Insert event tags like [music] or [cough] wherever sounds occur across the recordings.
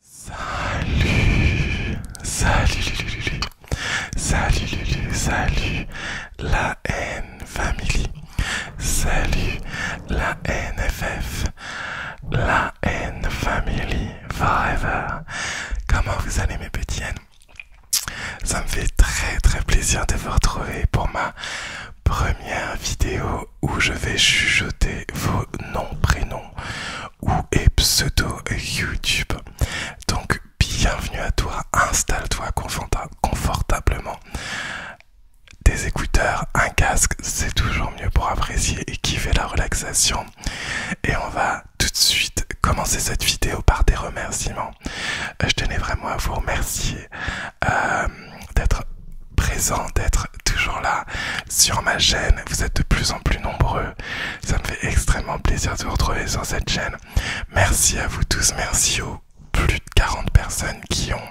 Salut, salut, salut, salut, la n family, salut, la NFF, la n family forever. Comment vous allez mes petits Ça me fait très très plaisir de vous retrouver pour ma première vidéo où je vais chuchoter vos noms, prénoms ou pseudo YouTube. Donc bienvenue à toi, installe-toi confortablement. Des écouteurs, un casque, c'est toujours mieux pour apprécier et kiffer la relaxation. Et on va tout de suite commencer cette vidéo par des remerciements. Euh, je tenais vraiment à vous remercier euh, d'être présent, d'être toujours là sur ma chaîne. Vous êtes de plus en plus nombreux. Ça me fait extrêmement plaisir de vous retrouver sur cette chaîne. Merci à vous tous. Merci aux plus de 40 personnes qui, ont,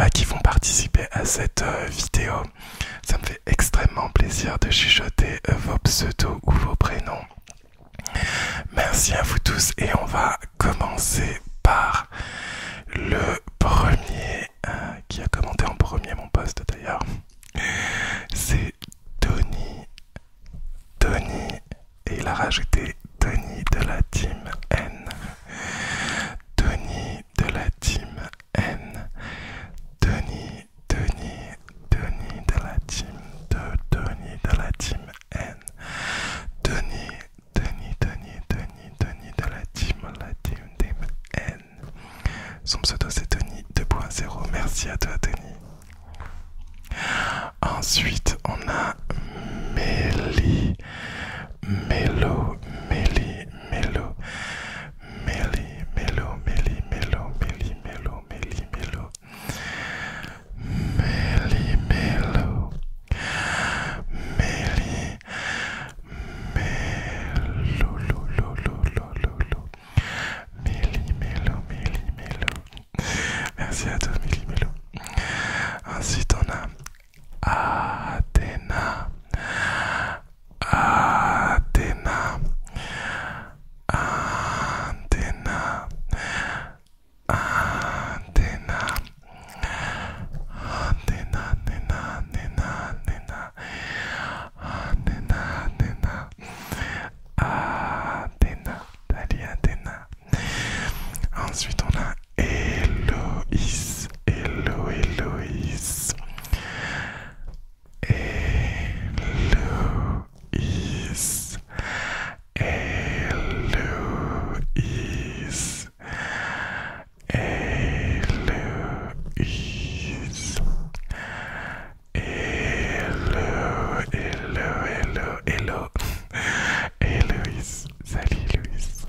euh, qui vont participer à cette euh, vidéo. Ça me fait extrêmement plaisir de chuchoter euh, vos pseudos ou vos prénoms. Merci à vous tous et on va commencer par le premier euh, qui a commenté en premier mon poste d'ailleurs, c'est Tony. Tony, et il a rajouté Tony de la team N. Tony de la team N. Tony, Tony, Tony de la team de Tony de la team N. Tony, Tony, Tony, Tony, Tony de la team, la team N. Son pseudo c'est Tony 2.0. Merci à toi Tony. Ensuite on a Mélie. Mélo, Mélie, Mélo. Mélie, Mélo, Mélie, Mélo, Mélie, Mélo, Mélie, Mélo. Mélie, Mélo. Mélie, Mélo, Merci à tous mélo. Ensuite, on a Athéna. Athéna. Athéna. Athéna. Athéna, Athéna, Athéna, Athéna. Adena, Athéna, Athéna, Dalia, Athéna. Ensuite, on a Héloïse, Hélo, Héloïse, Héloïse, Hello, Héloïse. Hello, hello, hello, hello. Héloïse, salut Héloïse.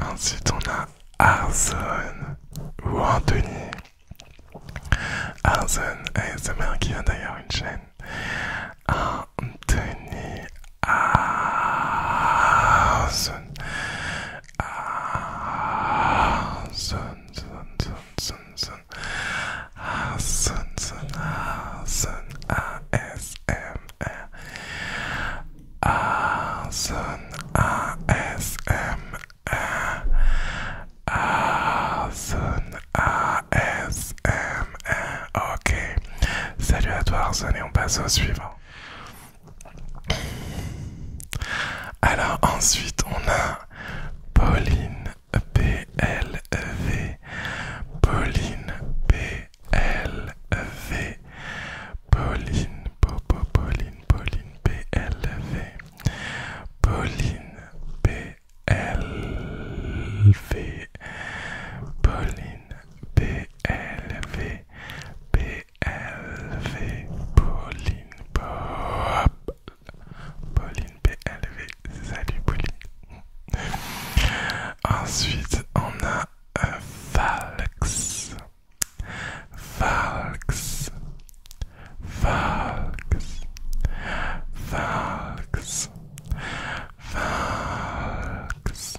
Ensuite, on a Arzon ou Anthony. Arzon ASMR qui a d'ailleurs une chaîne. Anthony Arzon. Son, son son son son ASMR, son ASMR, son ASMR. Ok, salut à toi Arson et on passe au suivant. Alors ensuite on a Pauline P V Pauline P V Pauline Popo, Pauline, Pauline V Pauline P V Pauline P L V PLV, Pauline Pop. Pauline PLV, salut Pauline. Ensuite, on a un euh, falx Valx. Valx. Valx. Valx. Valx.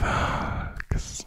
Valx.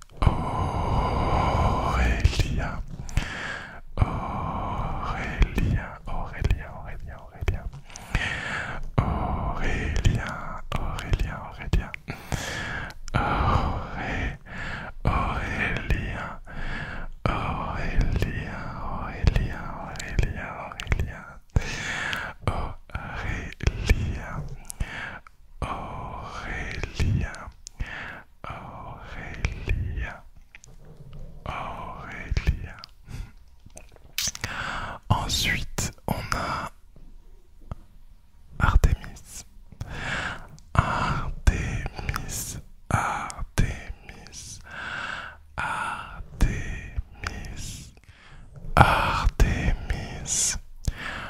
Aurélien. Aurélien, Aurélien, Aurélien, Aurélien, Aurélien, Aurélien, Aurélien, Auré, Aurélia, Aurélia, Aurélia, Aurélia, Aurélia. Ensuite, on a Artemis, Artemis, Artemis, Artemis, Artemis,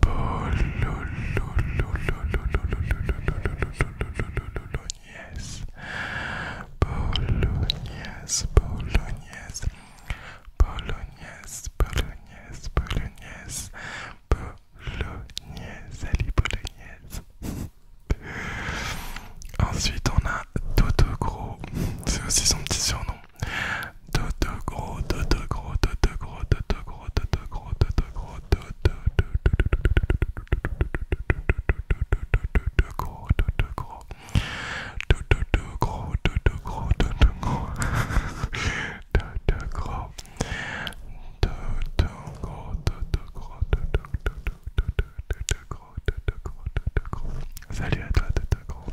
Bolognaise, Bolognaise, Bolognaise, Bolognaise, Bolognaise, Bolognaise, Bolognaise, allez Bolognaise. Ensuite on a Toto Gros, c'est aussi son petit surnom. Dodo gros, dodo dodo dodo dodo Salut à toi, dodo gros.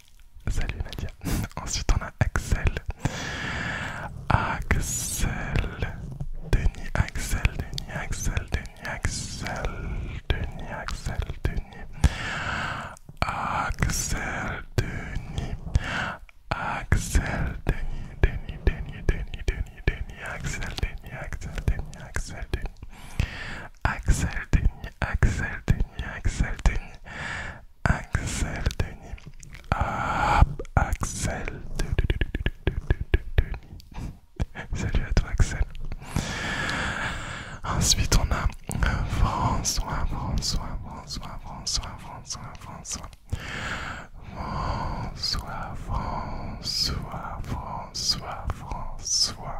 Salut Nadia. [laughs] Ensuite on a Axel. Axel. Denis, Axel, Denis, Axel, Denis, Axel, Axel, Denis. Axel, Denis. Denis, Denis, Denis, Denis, Denis, Axel, Denis, Axel, Axel, Axel Denis, Axel Denis, Axel Denis, hop, Axel Denis. [laughs] Salut à toi, Axel. Ensuite, on a François, François, François, François, François, François. François, François, François, François.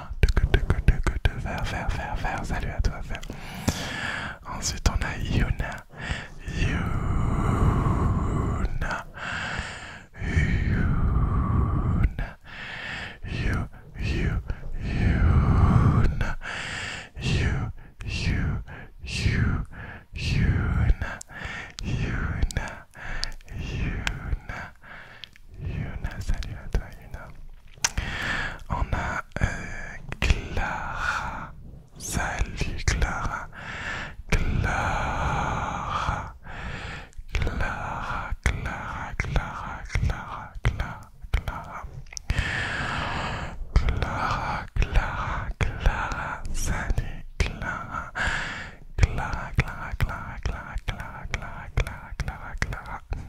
verre, Salut à toi, verre Ensuite, on a Yuna. Yuna. Yuna. You, Yuna. Yuna. Yuna. Yuna. Yuna, salut à toi Yuna. On a Clara. Salut Clara. Clara. Clara, Clara, Clara, Clara, Clara, Clara. Clara, Clara, Clara, salut Clara. Clara, Clara, Clara, Clara, Clara, Clara, Clara, Clara, Clara.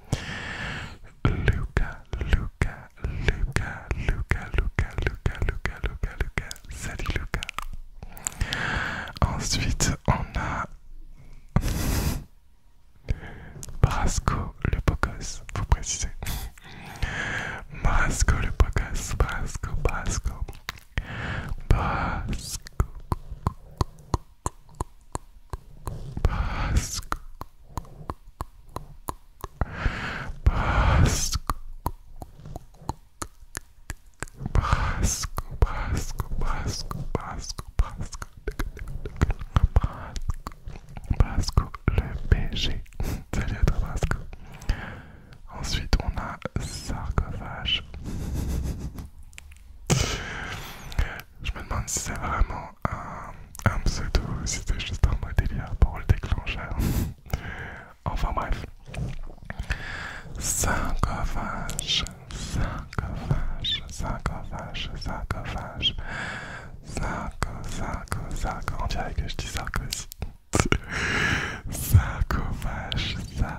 Luca, Luca, Luca, Luca, Luca, Luca, Luca, Luca, Luca, salut Luca. Ensuite, on a Brasco le Pocos, vous précisez. Brasco le Pocos, Brasco, Brasco. Brasco. Pasco Pasco Pasco Pasco Basque. Pasco Pasco Basco, le PG. Salut à toi, Basco. Ensuite, on a sarcophage. Je me demande si c'est vraiment un, pseudo ou si c'est juste un mot délire pour le déclencheur. [laughs] enfin bref. Sarcophage, sarcophage, sarcophage, sarcophage. On dirait que je dis ça [laughs] Sarcophage, sarcophage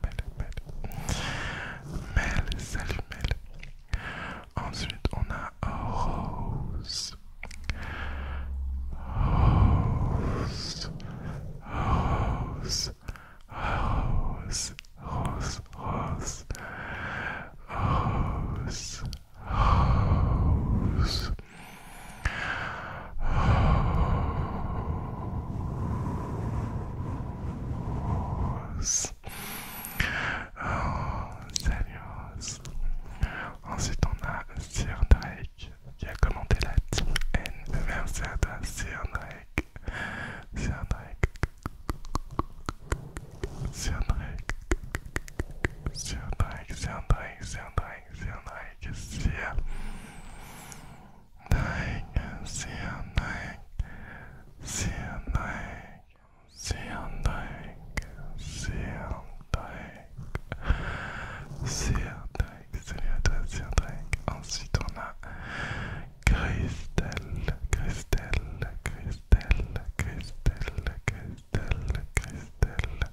Mel, Mel. Mel, salut Mel. Ensuite, on a Rose. Rose. Rose. Rose. Rose. Rose. Rose. Rose. Rose. Oh, Ensuite, on a Sir Drake qui a commenté la team N. Merci à toi, Sir Drake. Sir Drake. Sir Drake. Sir Drake, Sir Drake, Sir Drake, Sir Drake, Sir. C'est un c'est Ensuite on a Christelle, Christelle, Christelle, Christelle, Christelle, Christelle,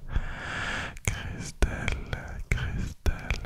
Christelle.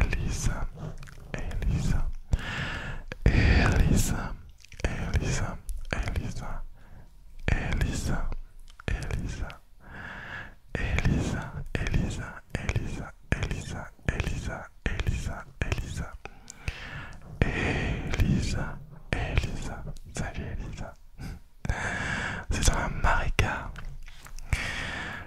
Elisa, Elisa, Elisa, Elisa, Elisa, Elisa, Elisa, Elisa, Elisa, Elisa, Elisa, Elisa, Elisa, Elisa, Elisa, Elisa, salut Elisa, c'est dans la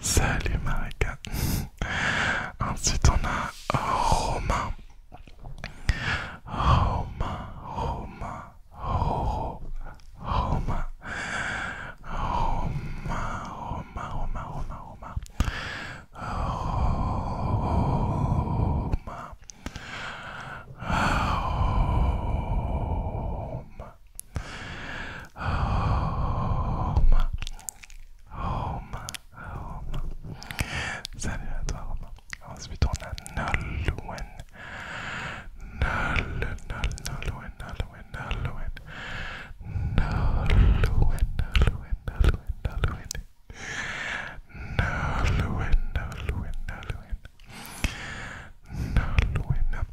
Salut Marika [laughs] Ensuite on a Romain. Romain. Romain, Romain, Romain, Romain, Romain. Romain. Home. Home. Home. Salut à toi, Romain. Ensuite, on a Nolwen. Nolwen, Nolwen, Nolwen, Nolwen. Nolwen, Nolwen, Nolwen, Nolwen. Nolwen, Nolwen, Nolwen.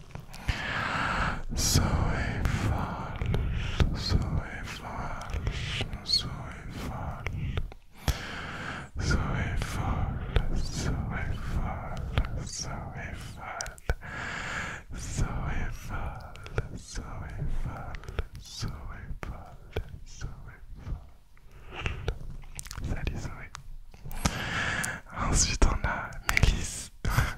So folle, so folle, so folle, so folle, so folle, so folle, so folle, so folle, so folle. so Salut Zoé. Ensuite on a Mélisse. [laughs]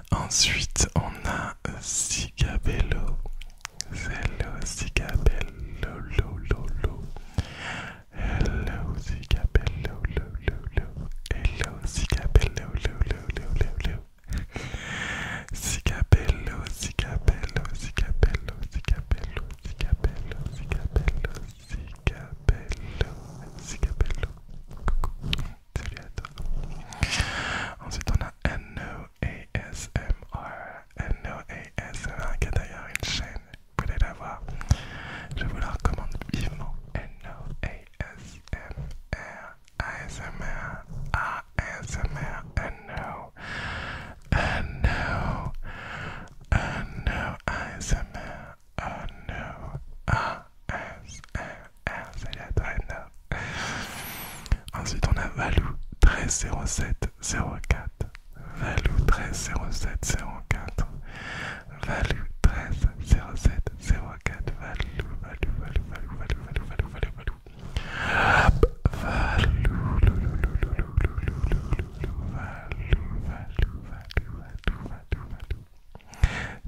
Ensuite, on a Cigabello. Hello, Cigabello, lo, lolo, Hello, Cigabello, lo, lo, Hello, Cigabello, lo, lo, lo, lo, lo. Cigabello, Cigabello, Cigabello, Cigabello, Cigabello, Cigabello, Cigabello, Cigabello. Salut à toi. Ensuite, on a NOASMR. E NOASMR e qui a d'ailleurs une chaîne. Vous pouvez la voir. Je vous la recommande vivement. NOASMR. E ASMR. ASMR. NO. NO. NO. ASMR. NO. ASMR salut à toi Ensuite on a Valou 130704. Valou 130704. Valou 130704. Valou, Valou, Valou, Valou, Valou, Valou, Valou, Valou, Valou. Valou, Valou, Valou, Valou, Valou, Valou, Valou.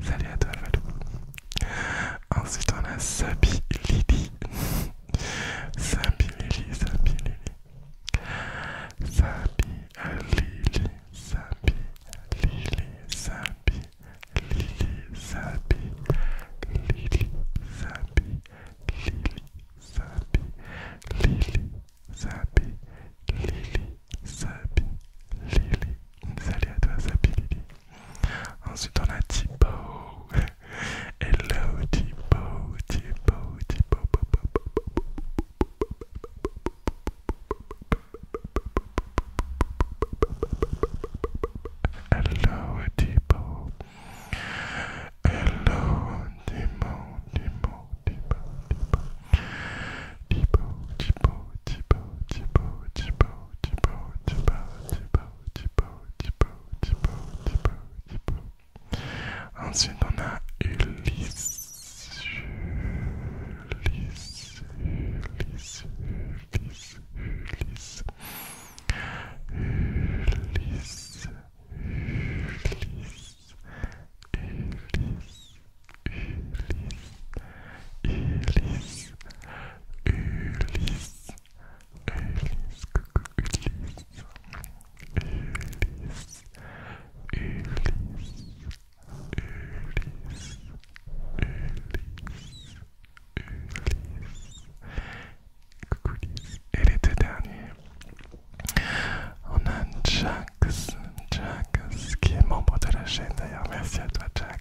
Salut à toi Valou. Ensuite, on a Sabi Lily. Sabi Lili Sabi [laughs] Sabi Lili Sabi Lili Sabi Lili Sabi Lili Sabi Lili Sabi Lili Sabi Sabi Salut à toi, Sabi Lily. Ensuite, on a Tipo. [laughs] Hello, Tipo, Tipo. Hello, Tipo. Hello, Tibo, Hello, Tipo, Tipo, Tipo, Tipo, Tipo. Ensuite, on a Ulisse. Ulysse, Ulysse, coucou Ulysse, Ulysse, Ulysse, Ulysse, Ulysse, Ulysse, coucou Ulysse. Et les deux derniers, on a Jax, Jax qui est membre de la chaîne d'ailleurs, merci à toi Jax.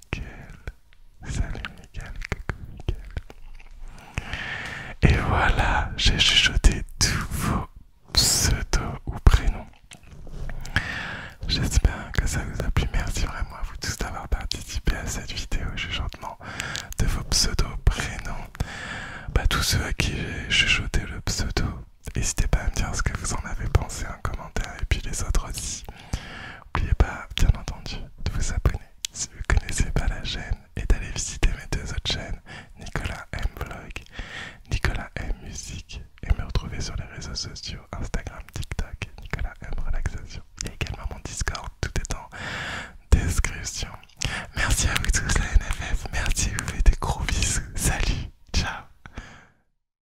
nickel. Salut, nickel. Coucou, nickel. Et voilà, j'ai chuchoté tous vos pseudos ou prénoms. J'espère que ça vous a plu. Merci vraiment à vous tous d'avoir participé à cette vidéo chuchotement de vos pseudos, prénoms. Bah, tous ceux à qui j'ai chuchoté le pseudo, n'hésitez pas à me dire ce que vous en avez pensé en commentaire et puis les autres aussi. N'oubliez pas, bien entendu, de vous abonner si vous ne connaissez pas la chaîne et d'aller visiter mes deux autres chaînes, Nicolas M Vlog, Nicolas M Musique, et me retrouver sur les réseaux sociaux Instagram, TikTok, Nicolas M Relaxation. et également mon Discord, tout est en description. Merci à vous tous la NFF, merci, vous faites des gros bisous, salut, ciao